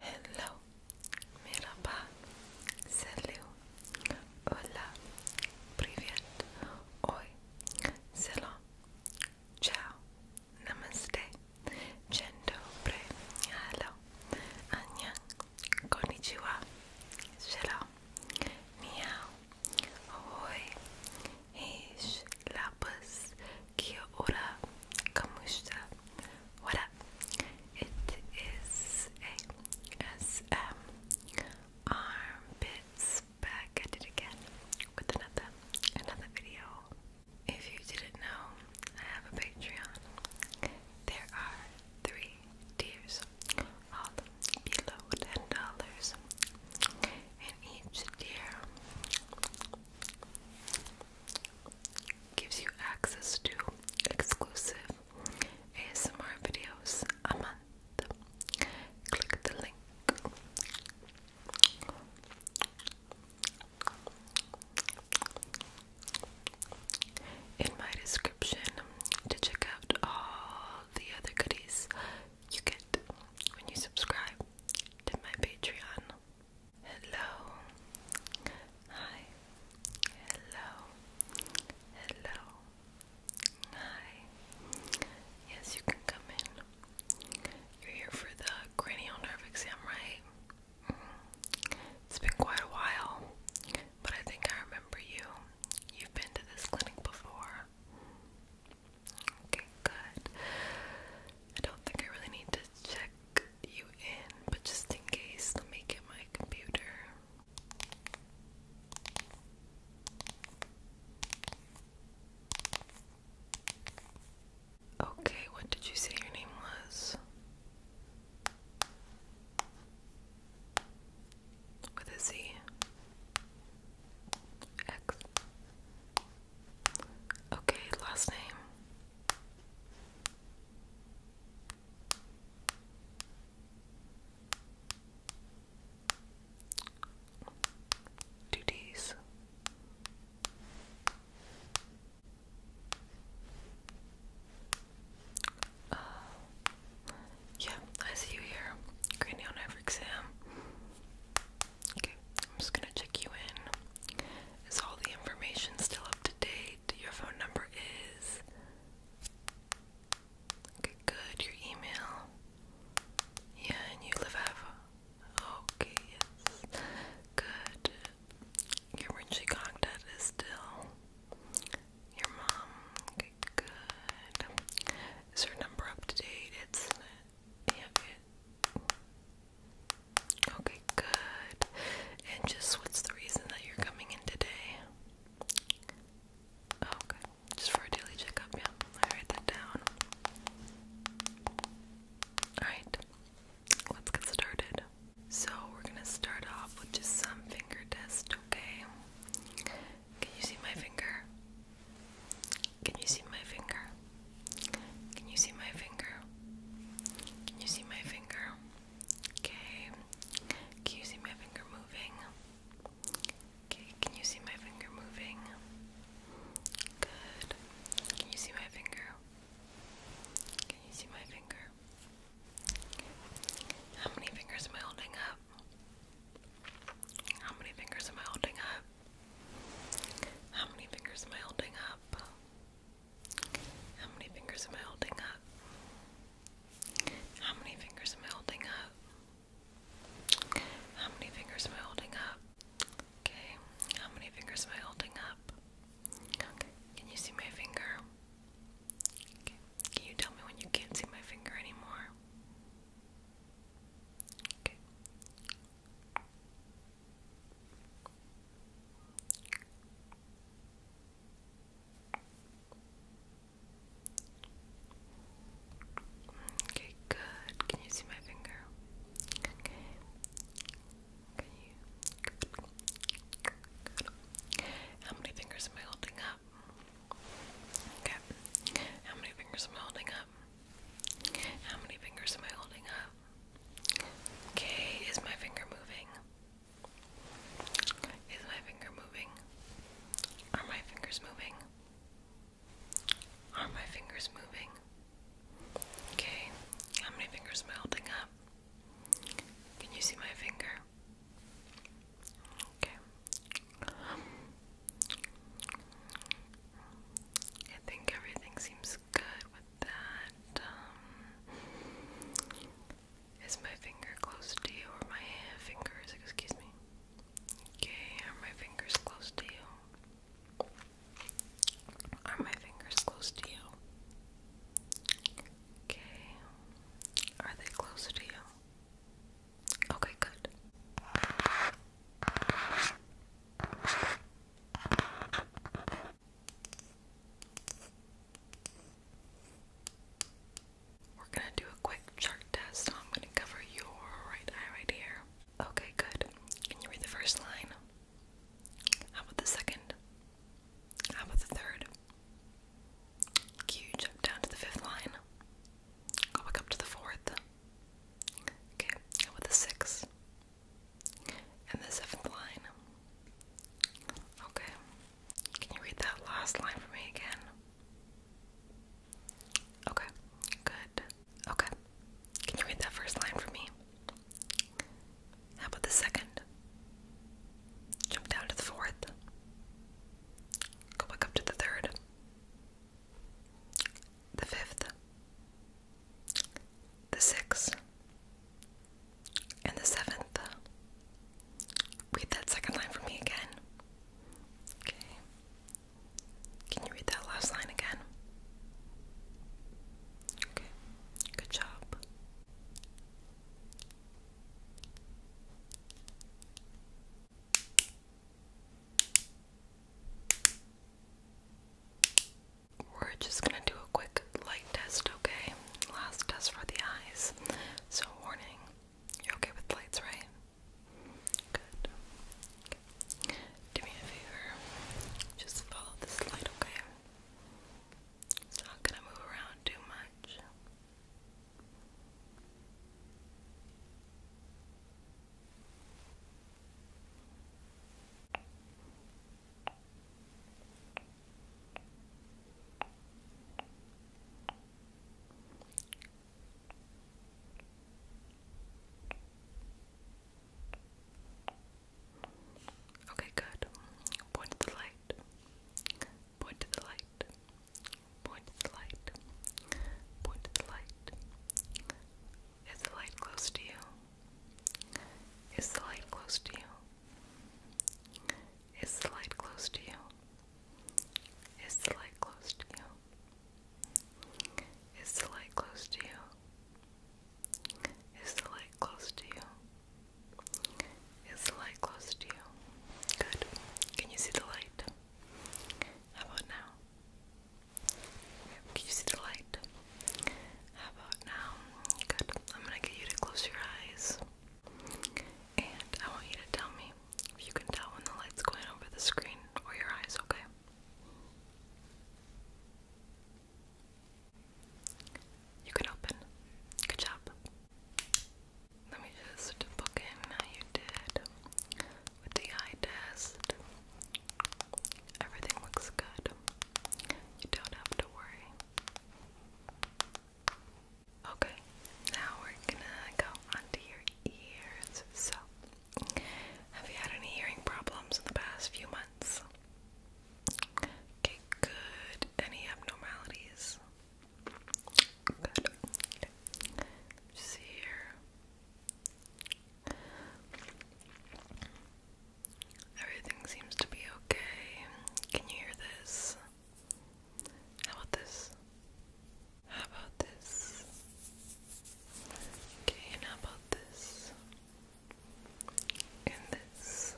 Hello, merhaba, selam, hola, привет, oi, ciao, namaste, cendo pre, hello, annyeong, konnichiwa, selam, ni hao, ahoy, heesh, labas, kia what up? It is ASM Armpits back at it again with another another video. If you didn't know, I have a Patreon. There are three tiers, all below ten dollars, and each tier gives you access to exclusive ASMR videos a month. Click the link. In my description to check out all the other goodies you get when you subscribe to my Patreon. Hello. Hi. Hello. Hello. Hi. Yes, you can come in. You're here for the cranial nerve exam, right? Mm-hmm. It's been quite a while, but I think I remember you. You've been to this clinic before. Okay, good. I don't think I really need to check you in, but just in case, let me get my computer. Okay, what did you say your name was? With a Z. X. Okay, last name. Two D's. Uh, yeah, I see you here. Cranial nerve exam. Okay, I'm just gonna check you in. Is all the information still up to date? Your phone number is. Okay, good. Your email. Yeah, and you live at. Okay, yes. Good. Your emergency contact is still. Your mom. Okay, good. Is her number up to date? It's yeah, Okay, good. And just what's the reason that you're coming in today? Oh, okay, just for a daily checkup, yeah. I write that down. Alright, let's get started. So, we're gonna start off with just some finger test, okay? Can you see my finger? Can you see my finger? Can you see my finger? Can you see my finger? Okay. Can you see my finger moving? Okay, can you see my finger moving? Good. Can you see my finger? Can you see my finger? How many fingers am I holding up? How many fingers am I holding up? How many fingers am I holding up? How many fingers am I holding up? How many fingers am I holding up? How many fingers am I holding up? Okay, how many fingers am I holding up? Okay, can you see my finger? Okay, can you tell me when you can't see my finger anymore? Okay, Okay, good. Can you see my finger? Okay. Can you? How many fingers am I holding up? Okay. How many fingers am I holding up? How many fingers am I holding up? Okay, is my finger moving? Is my finger moving? Are my fingers moving? Are my fingers moving? Okay, how many fingers am I holding up? Can you see my finger? Okay. I think everything seems good with that. Um, my finger close to you or my fingers? Excuse me. Okay, are my fingers close to you? Are my fingers close to you? Okay, are they close to you? Okay, good. We're gonna do a quick chart test. I'm gonna cover your right eye right here. Okay, good. Can you read the first line? How about the second? How about the third? Can jump down to the fifth line? Go back up to the fourth. Okay, with a six. And the seventh line. Okay. Can you read that last line for me again? Okay, good. Okay. Can you read that first line for me? How about the second? Jump down to the fourth. Go back up to the third the fifth, the sixth, and the seventh. Read that second line for me again. Okay. Can you read that last line again? Okay. Good job. We're just gonna do a quick light test, okay? Last test for the eyes. So, warning you're okay with lights, right? Good. Okay. me a favor, just follow this light, okay? It's not gonna move around too much. Okay, good. Point to the light. Point to the light. Point to the light. Point to the light. Is the light close to you? Is the light close to you? Is the light close to you? Is the light close to you? Is the light close to you? Is the light close to you? Is the light close to you? Good. Can you see the light? How about now? Can you see the light? How about now? Good. I'm gonna get you to close your eyes. And I want you to tell me if you can tell when the light's going over the screen or your eyes, okay? You can open. Good job. Let me just book in how you did with the eye test. Everything looks good. You don't have to worry. Okay, now we're gonna go onto your ears. So, have you had any hearing problems in the past few months? Okay, good. Any abnormalities? Good. Okay. here. Everything seems to be okay. Can you hear this? How about this? How about this? Okay, and how about this? And this.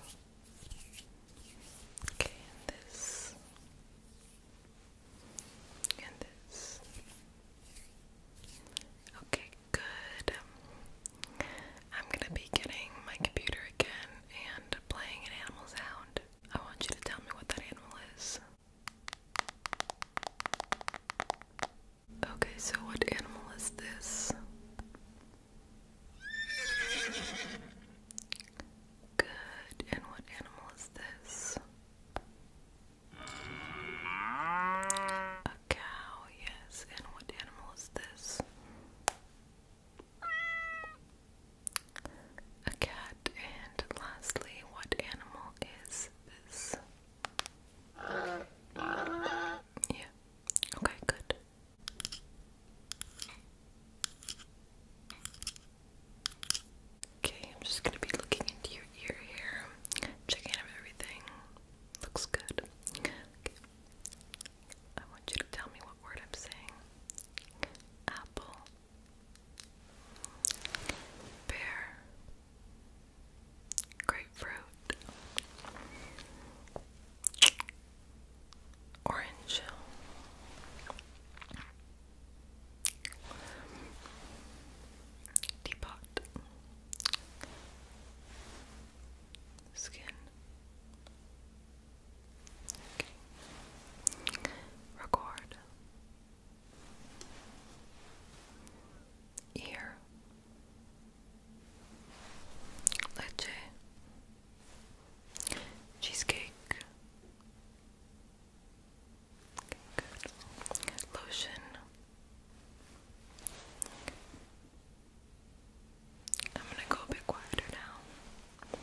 Okay, and this. Okay, good. I'm gonna be getting my computer again and playing an animal sound. I want you to tell me what that animal is. Okay, so what animal is this? Good, and what animal is this? A cow, yes. And what animal is this? A cat. And lastly, what animal is this? Yeah. Okay, good. Okay, I'm just gonna be looking into your ear here, checking out everything. Looks good. I want you to tell me what word I'm saying. Apple. Pear. Grapefruit. Orange. Teapot Skin okay. Record Ear Leche Cheesecake Lotion. I'm gonna go a bit quieter now.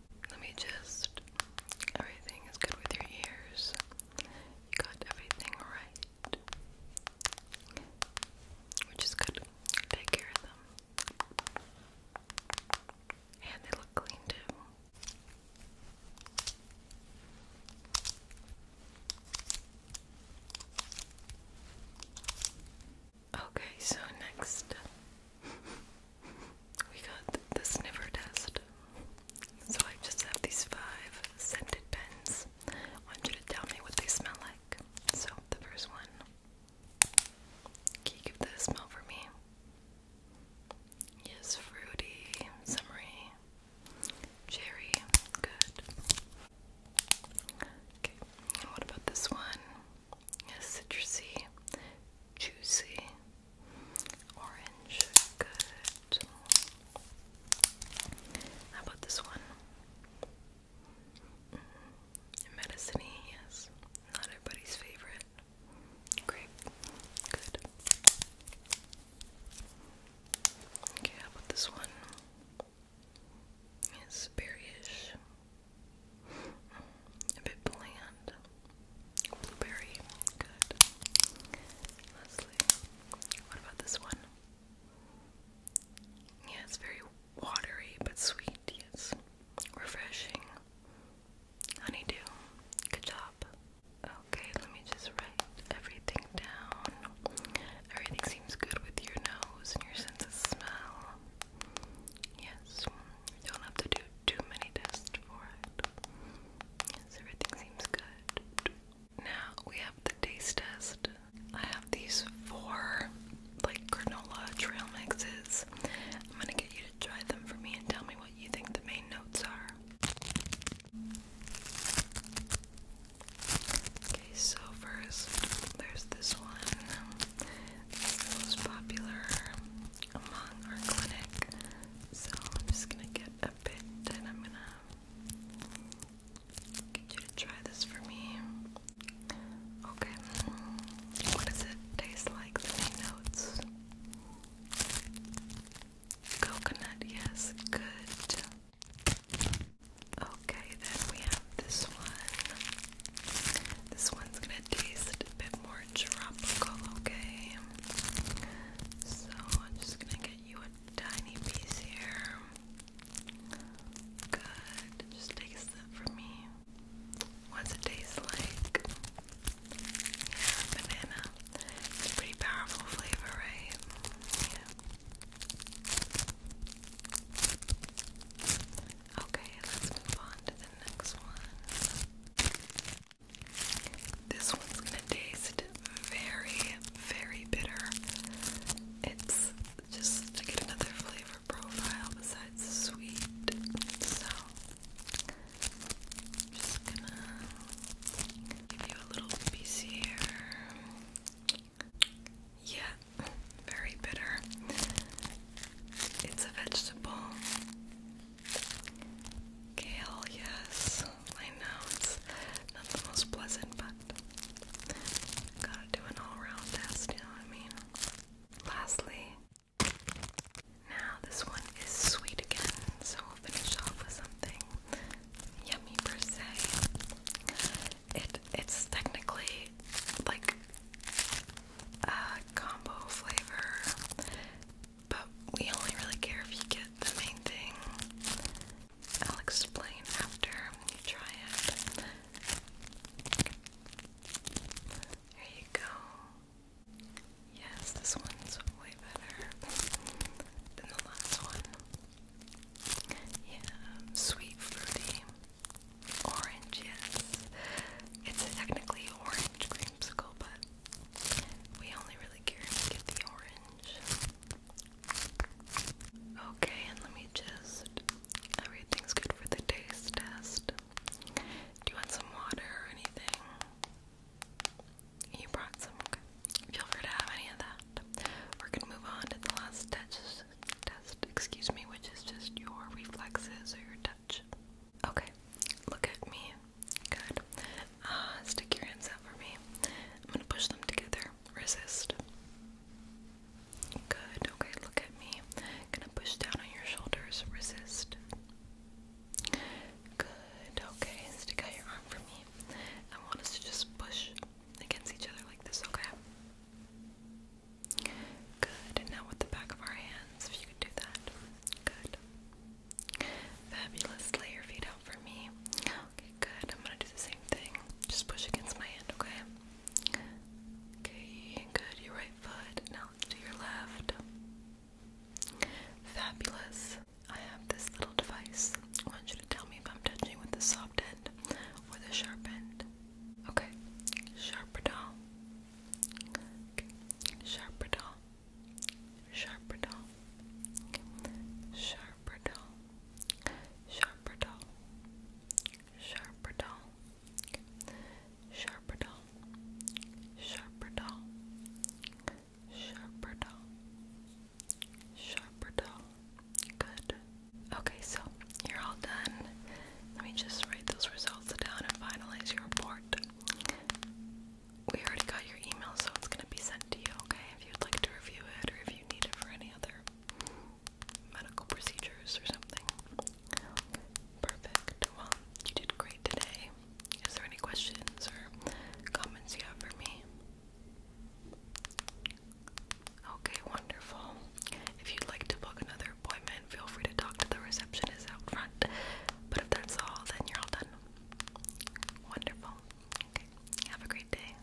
Let me just. Everything is good with your ears. You got everything right. Which is good. Take care of them. And they look clean too. Okay, so next we got the sniffer test. So I just have these five scented pens. I want you to tell me what they smell like. So the first one. Can you give the smell for me? Yes, fruity, summery, cherry, good. Okay, what about this one? Yes, citrusy, juicy, Orange, good. How about this one? Mm yes. Not everybody's favorite. Grape, good. Okay, how about this one? It's berryish. A bit bland. Blueberry. Good. Leslie. What about this one? Yeah, it's very watery but sweet. Yes. Refreshing. Honeydew. Good job. Okay, let me just write everything down. Everything seems good with your nose and your sense of smell. Yes, don't have to do too many tests for it. Yes, everything seems good. Now we have the taste test. I have these four like granola trail mixes. I'm gonna get you to try them for me and tell me what you think the main notes are. Okay, so first there's this one is the most popular among our clinic. So I'm just gonna get a bit and I'm gonna get you to try this for me. Okay. What does it taste like? The notes. Coconut, yes, good. Okay, then we have this one. This one's gonna taste a bit more tropical, okay? So I'm just gonna get you a tiny piece here. Good. Just take a sip for me. What's it taste like? Yeah, banana. It's a pretty powerful flavor, right? Yeah. Okay, let's move on to the next one. This one's gonna taste very, very bitter. It's just to get another flavor profile besides sweet. So, just gonna give you a little piece here. Yeah, very bitter. It's a vegetable. Kale, yes. I know it's not the most pleasant, but gotta do an all round test, you know what I mean? Lastly, now this one is sweet again, so we'll finish off with something yummy per se. It it's technically like uh, combo flavor, but we only really care if you get the main thing. I'll explain after you try it. There you go. Yes, this one's way better than the last one. Yeah, sweet fruity. Orange, yes, It's technically orange creamsicle, but we only really care if we get the orange. Okay, and let me just. Everything's good for the taste test. Do you want some water or anything? You brought some. Okay. Feel free to have any of that. We're gonna move on to the last touches test, excuse me, which is just your reflexes or your touch. Okay, look at me. Good. Ah, stick your hands out for me. I'm gonna push them together. Resist. Good. Okay, look at me. gonna push down on your shoulders. Resist. Good. Okay, stick out your arm for me. I want us to just push against each other like this, okay? Good. now with the back of our hands, if you could do that. Good. Fabulous. Lay your feet out for me. Okay, good. I'm gonna do the same thing. Just push against my hand, okay? Okay, good. Your right foot. Now do your left. Fabulous. I have this little device. I want you to tell me if I'm touching with the soft end or the sharp end. Okay. Sharper doll. Okay. Sharper doll. Sharper doll. Sharper doll. Sharper doll. Sharper doll. Sharper doll. Sharper doll. Sharper doll. Sharper doll. Good. Okay, so you're all done. Let me just write those results down and finalize your report. We already got your email, so it's going to be sent to you, okay? If you'd like to review it or if you need it for any other medical procedures or something. Perfect. Well, you did great today. Is there any questions or comments you have for me? Okay, wonderful. If you'd like to book another appointment, feel free to talk to the receptionist out front. But if that's all, then you're all done. Wonderful. Okay, have a great day.